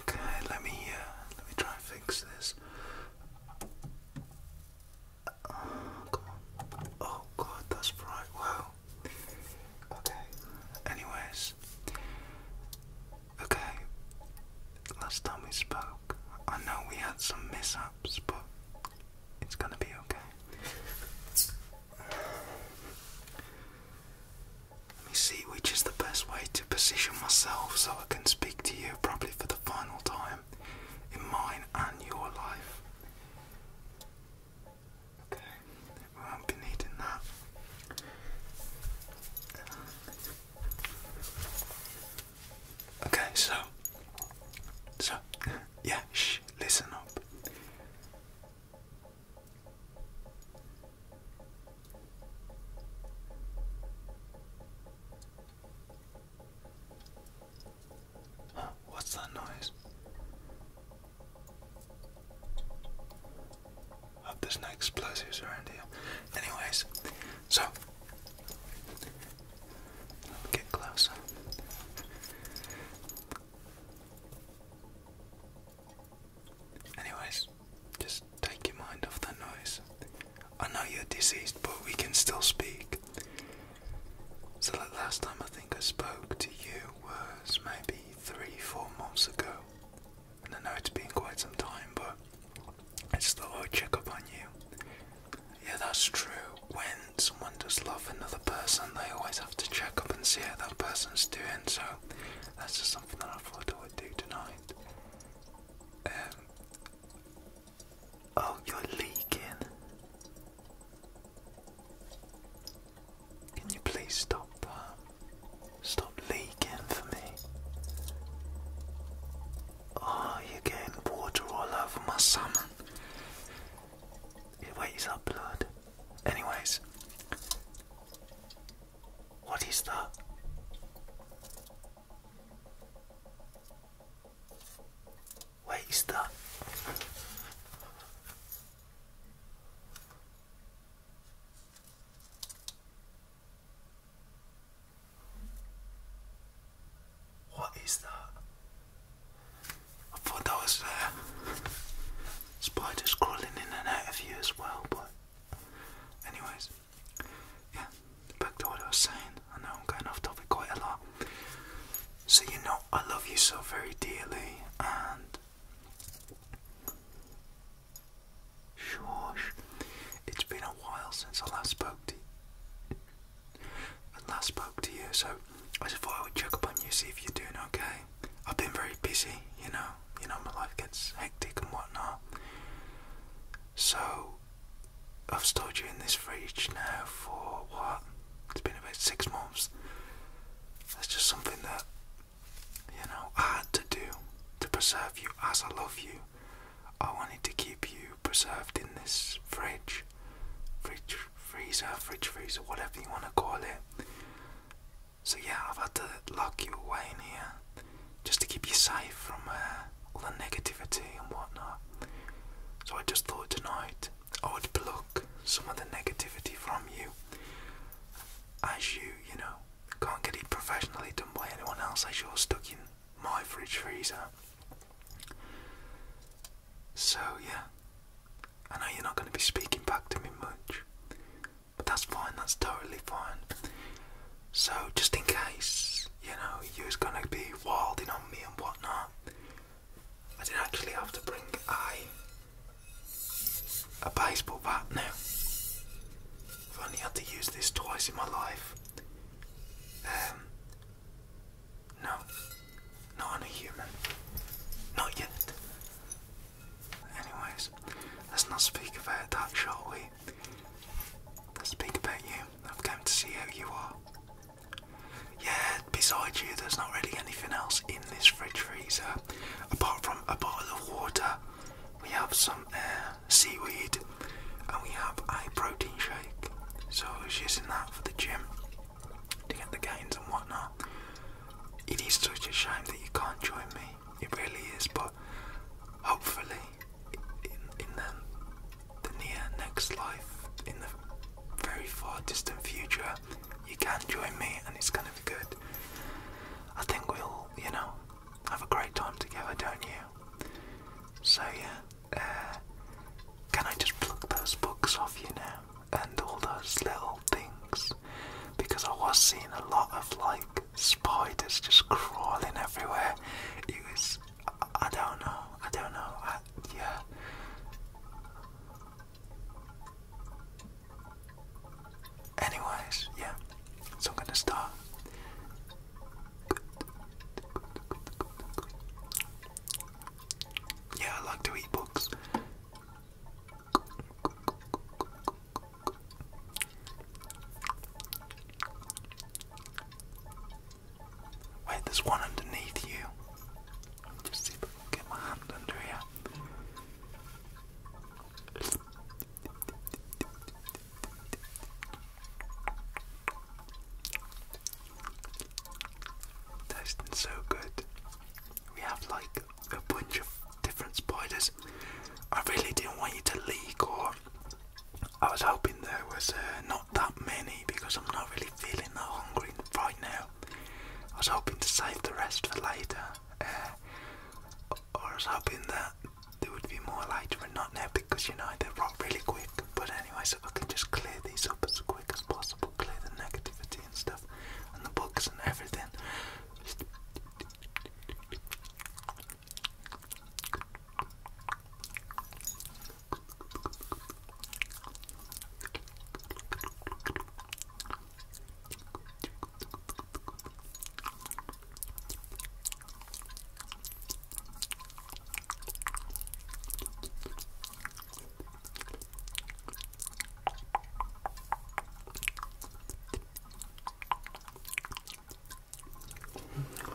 Okay, let me uh, let me try and fix this. Oh, oh god, that's bright. Wow. Okay. Anyways. Okay. Last time we spoke, I know we had some mishaps, but it's gonna be okay. Let me see which is the best way to position myself so I can speak to you properly for the final time in mine and your life. Okay, we won't be needing that. Okay, so, so yeah, shh, listen up. what's that noise? Hope there's no explosives around here. Anyways, so let me get closer. Anyways, just take your mind off that noise. I know you're diseased, but we can still speak. So the last time I think I spoke to you was maybe three, four months ago. And I know it's been quite some time, but I just thought i check up on you yeah, that's true. When someone does love another person, they always have to check up and see how that person's doing. So that's just something that I thought I would do tonight. Um, oh, you're leaking. Can you please stop that? Uh, stop leaking for me. Oh, you're getting water all over my salmon. Wait, is that blood? Anyways, what is that? Where is that? What is that? I thought that was there. Spiders crawling in and out of you as well, but anyways, yeah, back to what I was saying. I know I'm going off topic quite a lot. So you know I love you so very dearly and Shush. It's been a while since I last spoke to you. I last spoke to you. So I just thought I would check up on you, see if you're doing okay. I've been very busy, you know. You know, my life gets hectic and whatnot. So I've stored you in this fridge now for what? It's been about six months. That's just something that you know I had to do to preserve you as I love you. I wanted to keep you preserved in this fridge, fridge freezer, fridge freezer, whatever you want to call it. So yeah, I've had to lock you away in here just to keep you safe from uh, all the negativity and whatnot. So I just thought tonight I would block some of the negativity from you, as you, you know, can't get it professionally done by anyone else, as you're stuck in my fridge freezer. So, yeah, I know you're not going to be speaking back to me much, but that's fine, that's totally fine. So, just in case, you know, you was going to be wilding on me and whatnot, I did actually have to bring a, a baseball bat now. I've only had to use this twice in my life. Um, no, not a human. Not yet. Anyways, let's not speak about that, shall we? Let's speak about you. i am going to see who you are. Yeah, besides you, there's not really anything else in this fridge freezer. Apart from a bottle of water, we have some uh, seaweed, and we have a protein shake. So she's in that for the gym to get the gains and whatnot. It is such a shame that you can't join me. It really is, but hopefully, in, the near next life, in the very far distant future, you can join me, and it's gonna be good. I think we'll, you know, have a great time together, don't you? So yeah, uh, can I just pluck those books off you now and all those little things? Because I was seeing a lot of like spiders just crawling everywhere. It was, I, I don't know, I don't know, yeah. Anyways, yeah, so I'm gonna start yeah, I like to eat books. Wait, there's one underneath you. Just see if I can get my hand under here. That's so good. We have like a bunch of different spiders. I really didn't want you to leak, or I was hoping there was uh, not that many because I'm not really feeling that hungry right now. I was hoping to save the rest for later, uh, or I was hoping that there would be more light but not now because you know they rot really quick. But anyway, so I can just clear these up as quick as possible, clear the negativity and stuff, and the books and everything.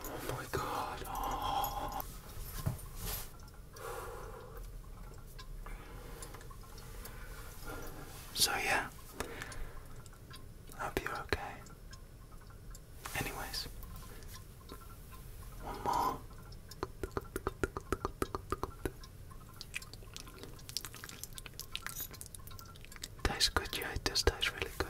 Oh my god. So yeah, Hope you're okay. Anyways, one more. Tastes good, yeah, it does taste really good.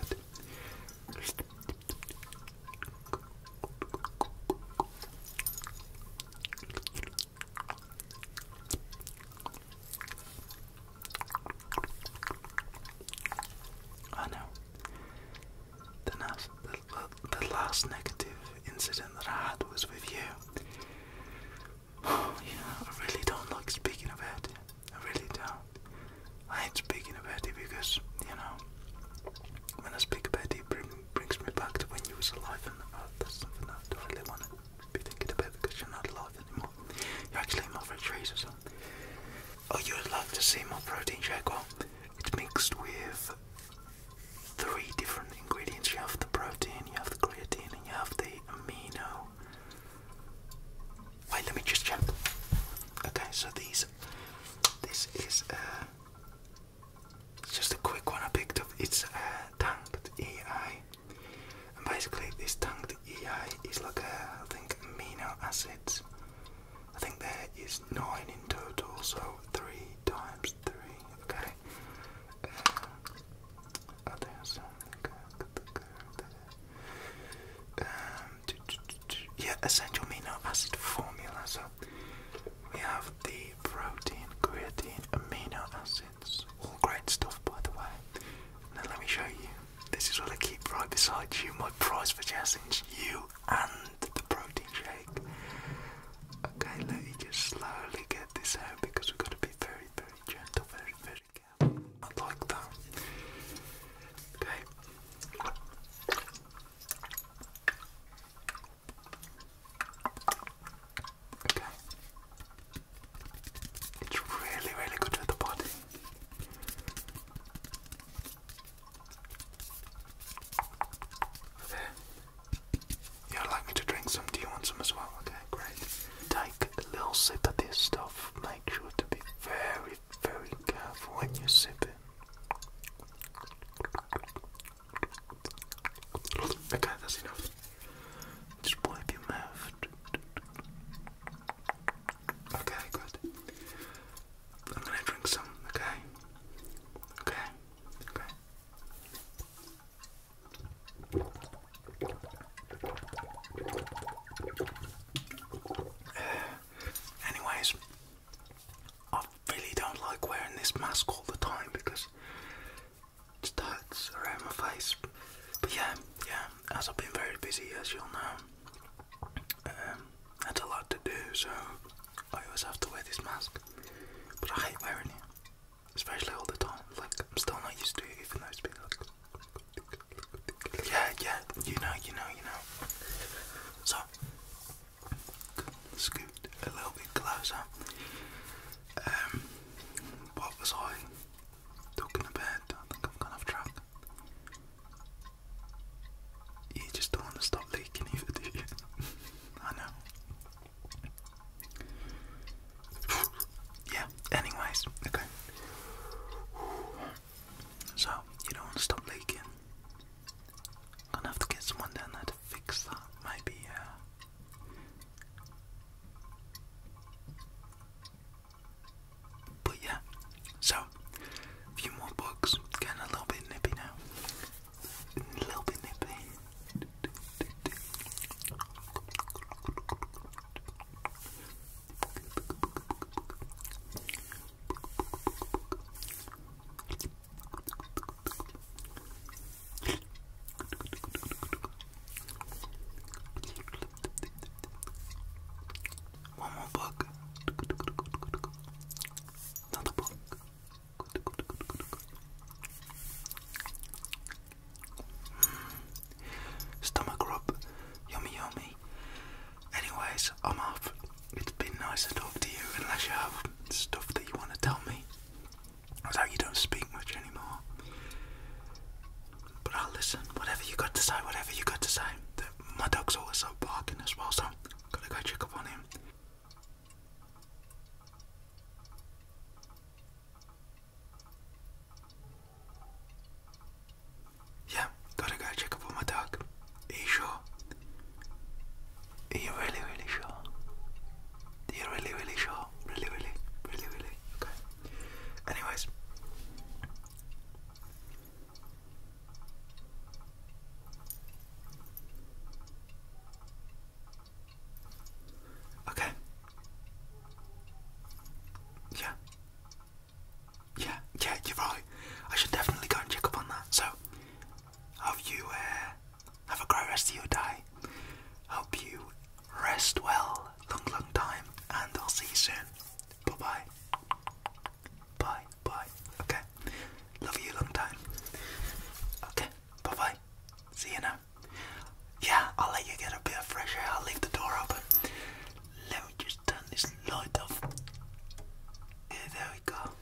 I know. The, nas the, last negative incident that I had was with you. yeah, I really don't like speaking about it. I really don't. I hate speaking about it because, you know, when I speak about it, brings me back to when you was alive and oh, that's something that I really want to be thinking about because you're not alive anymore. You're actually more for trees or something. Oh, you would love to see more protein shake? Well, it's mixed with three different ingredients. You have the protein, you have the creatine, and you have the amino. Wait, let me just jump. Okay, so these, this is uh, just a quick one I picked up. It's a uh, tanked AI. And basically, this tanked EA, is like a, I think, amino acids. I think there is nine in total, so three times three. Okay. yeah, essential amino acid formula. So we have the protein, creatine, amino acid. All great stuff, by the way. Now let me show you. This is what I keep right beside you. My prize for challenge, you and the protein shake. Okay, let me just slowly get this out because we've got to be very, very gentle, very, very careful. I like Okay. Okay. It's really, really good for the body. There. you like me to drink some? Do you want some as well? Okay, great. Take a little sip of this stuff. Make sure to be very, very careful when you sip it. Okay, that's enough. Just wipe your mouth. Okay, good. I'm gonna drink some, okay? Okay, okay. Anyways, I really don't like wearing this mask all the time because tats around my face. But yeah, yeah, as I've been very busy, as you'll know, um, had a lot to do, so I always have to wear this mask. But I hate wearing it, especially all the time. Like, I'm still not used to it, even though it's been like. Yeah, yeah, you know, you know, you know. So, scoop, a little bit closer. Um, what was I talking about? I think I've gone off track. You just don't want to stop leaking either, do you? I know. yeah, anyways, okay. So, you don't want to stop leaking. gonna have to get someone down there fix that, maybe, But yeah, so a few more books, getting a little bit nippy now. A little bit nippy. One more book. Another book. Hmm. Stomach rub. Yummy, yummy. Anyways, I'm off. It's been nice to talk to you, unless you have stuff that you want to tell me. It's like you don't speak much anymore. But I'll listen. Whatever you got to say, whatever you got to say. my dog's also barking as well, so gotta go check up on him. Yeah, gotta go check up on my dog. Are you sure? Are you really, really sure? Are you really, really sure? Really, really, really, really? Okay. Anyways. Okay. Yeah. Yeah, yeah, you're right. I should definitely go and check up on that. So, have you, uh, have a great rest of your day. Hope you rest well, long, long time, and I'll see you soon. Bye bye. Bye bye. Okay. Love you, long time. Okay. Bye bye. See you now. Yeah, I'll let you get a bit of fresh air. I'll leave the door open. Let me just turn this light off. Yeah, there we go.